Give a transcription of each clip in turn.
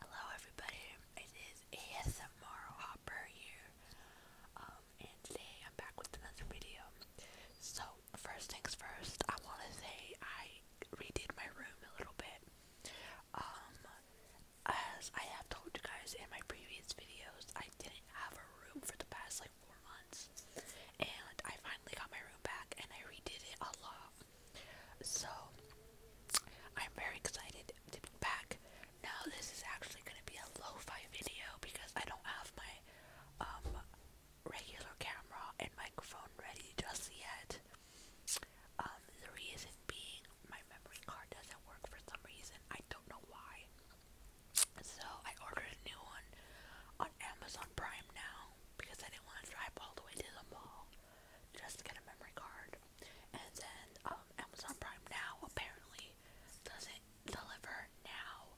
Hello everybody, it is ASMR Hopper here, um, and today I'm back with another video. So, first things first, I want to say I redid my room a little bit. Um, as I have told you guys in my previous videos, I didn't have a room for the past like four months. And I finally got my room back and I redid it a lot. So I'm very excited to be back. Now this is actually gonna be a lo-fi video because I don't have my um regular camera and microphone ready just yet. Um the reason being my memory card doesn't work for some reason. I don't know why. So I ordered a new one on Amazon Prime now because I didn't want to drive all the way to the mall just to get a memory card. And then um, Amazon Prime now apparently doesn't deliver now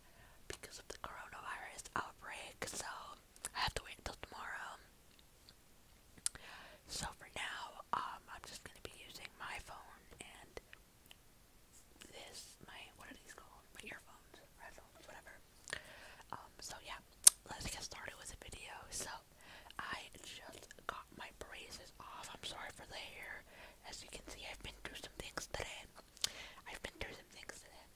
because of the coronavirus outbreak. So I have to wait until tomorrow. So for now, um, I'm just gonna be using my phone and this my what are these called? My earphones, headphones, whatever. Um, so yeah, let's get started with the video. So I just got my braces off. I'm sorry for the hair. As you can see I've been through some things today. I've been through some things today.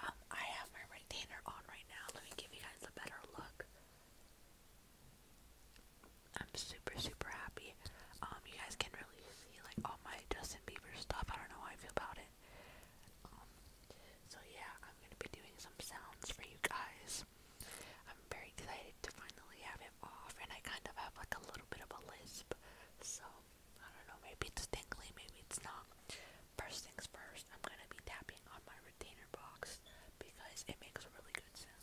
Um, I have my retainer on right now. Let me give you guys a better look. I'm super super happy. Um, you guys can really see like all my Justin Bieber stuff. I don't know how I feel about it. Um, so yeah, I'm gonna be doing some sounds for you guys. I'm very excited to finally have it off, and I kind of have like a little bit of a lisp. So I don't know, maybe it's tingly, maybe it's not. First things first, I'm gonna be tapping on my retainer box because it makes really good sounds.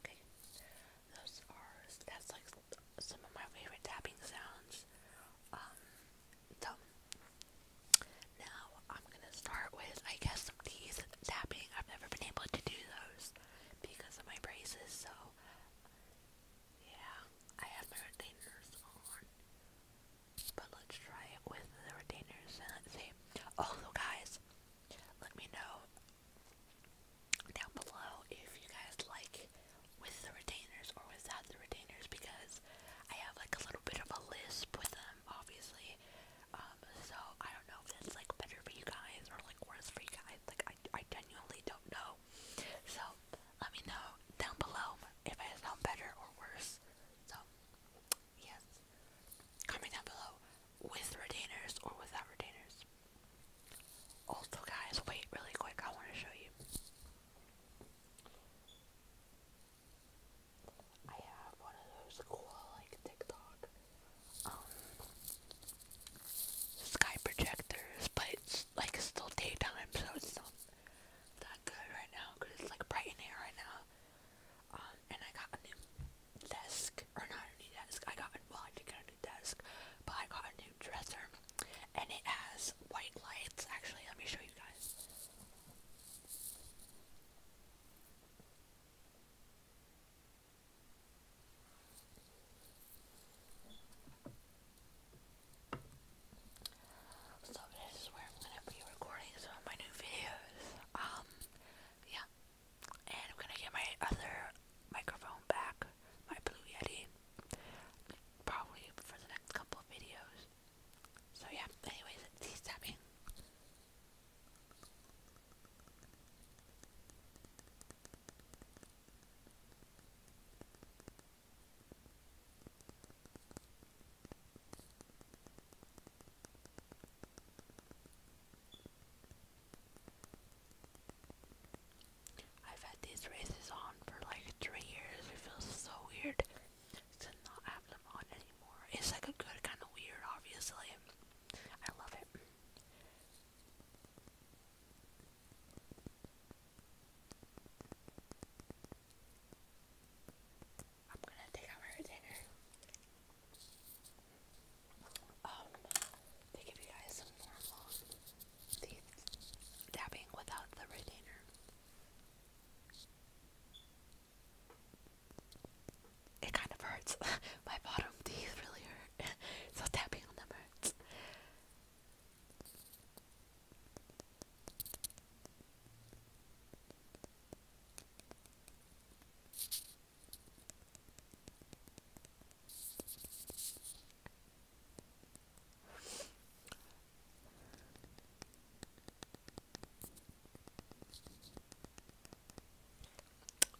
Okay, those are that's like some of my favorite tapping sounds. Um, so now I'm gonna start with I guess some teeth tapping. I've never been able to do those because of my braces, so yeah, I have my retainers on. But let's try it with the retainers and see. Also guys, let me know down below if you guys like with the retainers or without the retainers because I have like a little bit of a lisp with them obviously. Um so I don't know if that's like better for you guys or like worse for you guys. Like I I genuinely don't know. So let me know down below if I sound better or worse. So Yes. Comment down below with retainers or without retainers. Also, guys, wait really quick. I want to show you. I have one of those cool, like, TikTok, um, sky projectors, but it's, like, still daytime, so it's not that good right now, because it's, like, bright in here right now. Um, and I got a new desk, or not a new desk, I got, well, I did get a new desk, but I got a new dresser, and it has white lights, actually, let me show you guys. So this is where I'm gonna be recording some of my new videos. Um, yeah. And I'm gonna get my other microphone back, my Blue Yeti, probably for the next couple videos. So yeah, anyways, these tapping. I've had these races on for like three years. It feels so weird to not have them on anymore. It's like a good kind of weird, obviously. I love it. I'm gonna take out my retainer. Um, to give you guys some normal teeth dabbing without the retainer. It kind of hurts. my bottom teeth really hurt, so tapping on them hurts.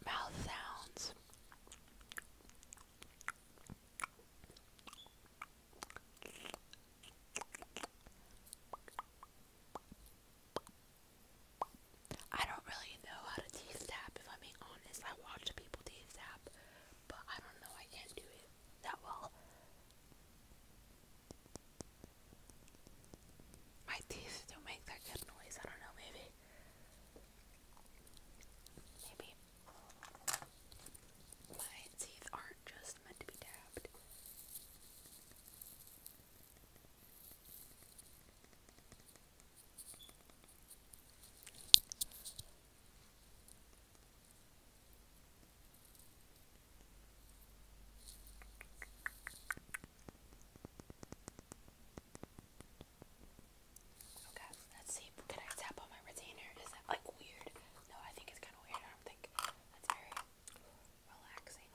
Mouth sounds. I don't really know how to tease tap, if I'm being honest. I watch people tease tap, but I don't know, I can't do it that well. My teeth don't make that good noise, I don't know, maybe. Maybe my teeth aren't just meant to be dabbed. Okay, let's see. Can I tap on my retainer? Is that like weird? No, I think it's kind of weird. I don't think that's very relaxing.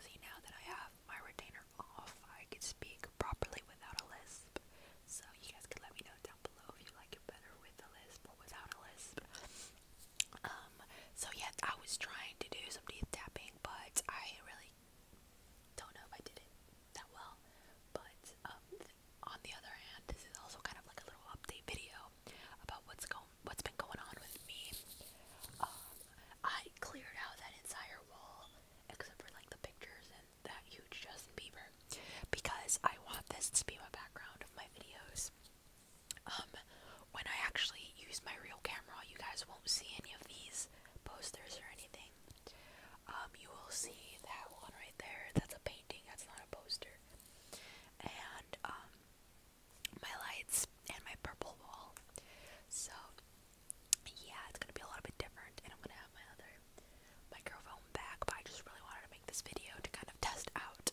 See, now that I have my retainer off, I can speak properly without a lisp. So, you guys can let me know down below if you like it better with a lisp or without a lisp. Um, so yeah, I was trying to do some teeth tapping, but I really don't know if I did it that well. But, um, on the other hand, this is also kind of like a little update video about what's going what's been going on with me. Um, I cleared out that entire wall except for like the pictures and that huge Justin Bieber because I want this to be my background of my videos. Um, when I actually use my real camera, you guys won't see any of these posters or anything. Um, you will see that one right there. That's a painting. That's not a poster. And um, my lights and my purple wall. So yeah, it's gonna be a little bit different and I'm gonna have my other microphone back, but I just really wanted to make this video to kind of test out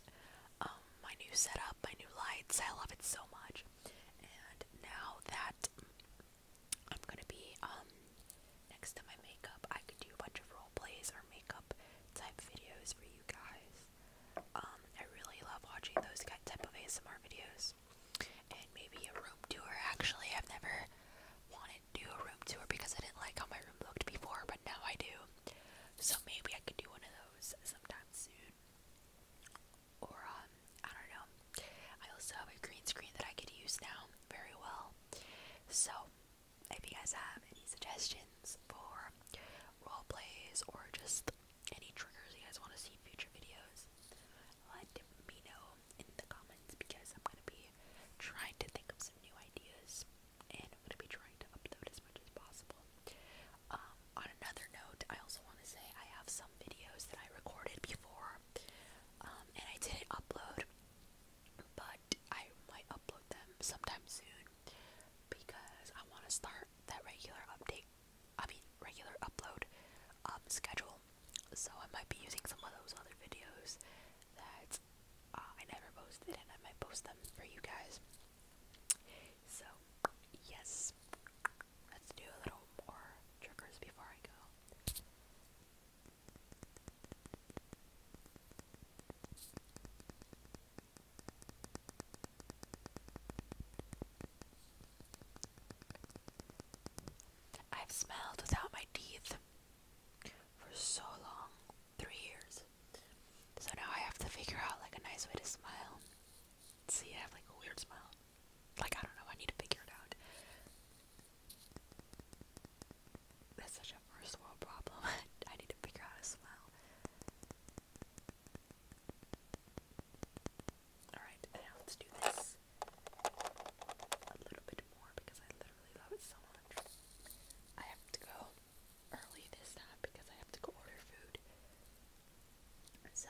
um, my new setup, my new lights. I love it so much. And now that I'm gonna be um next to my makeup, I can do a bunch of role plays or makeup type videos for you guys. Um, I really love watching those type of ASMR videos. And maybe a room tour. Actually, I've never wanted to do a room tour because I didn't like how my room looked before, but now I do. So maybe I could do one of those sometime soon. Or, um, I don't know. I also have a green screen that I could use now very well. So, if you guys have any suggestions, for role plays or just any triggers you guys want to see future videos, let me know in the comments because I'm going to be trying to think of some new ideas and I'm going to be trying to upload as much as possible. Um, on another note, I also want to say I have some videos that I recorded before um, and I didn't upload, but I might upload them sometime soon soon because I want to start that regular update. I mean, regular upload um, schedule. So I might be using some of those other videos that uh, I never posted, and I might post them for you guys. So yes, let's do a little more triggers before I go. I've smelled without my teeth for so long three years. So now I have to figure out like a nice way to smile. See, I have like a weird smile. Like, I don't know, I need to figure it out. That's such a first world problem. I need to figure out how to smile. Alright, now let's do this a little bit more because I literally love it so much. I have to go early this time because I have to go order food. So.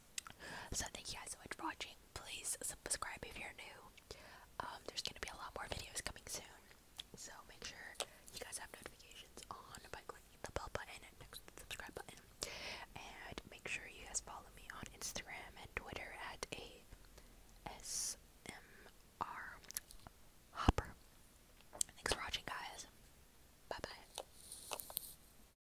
So thank you guys so much for watching. Please subscribe if you're new. Um, there's gonna be a lot more videos coming soon, so make sure you guys have notifications on by clicking the bell button next to the subscribe button. And make sure you guys follow me on Instagram and Twitter at ASMR Hopper. Thanks for watching, guys. Bye bye.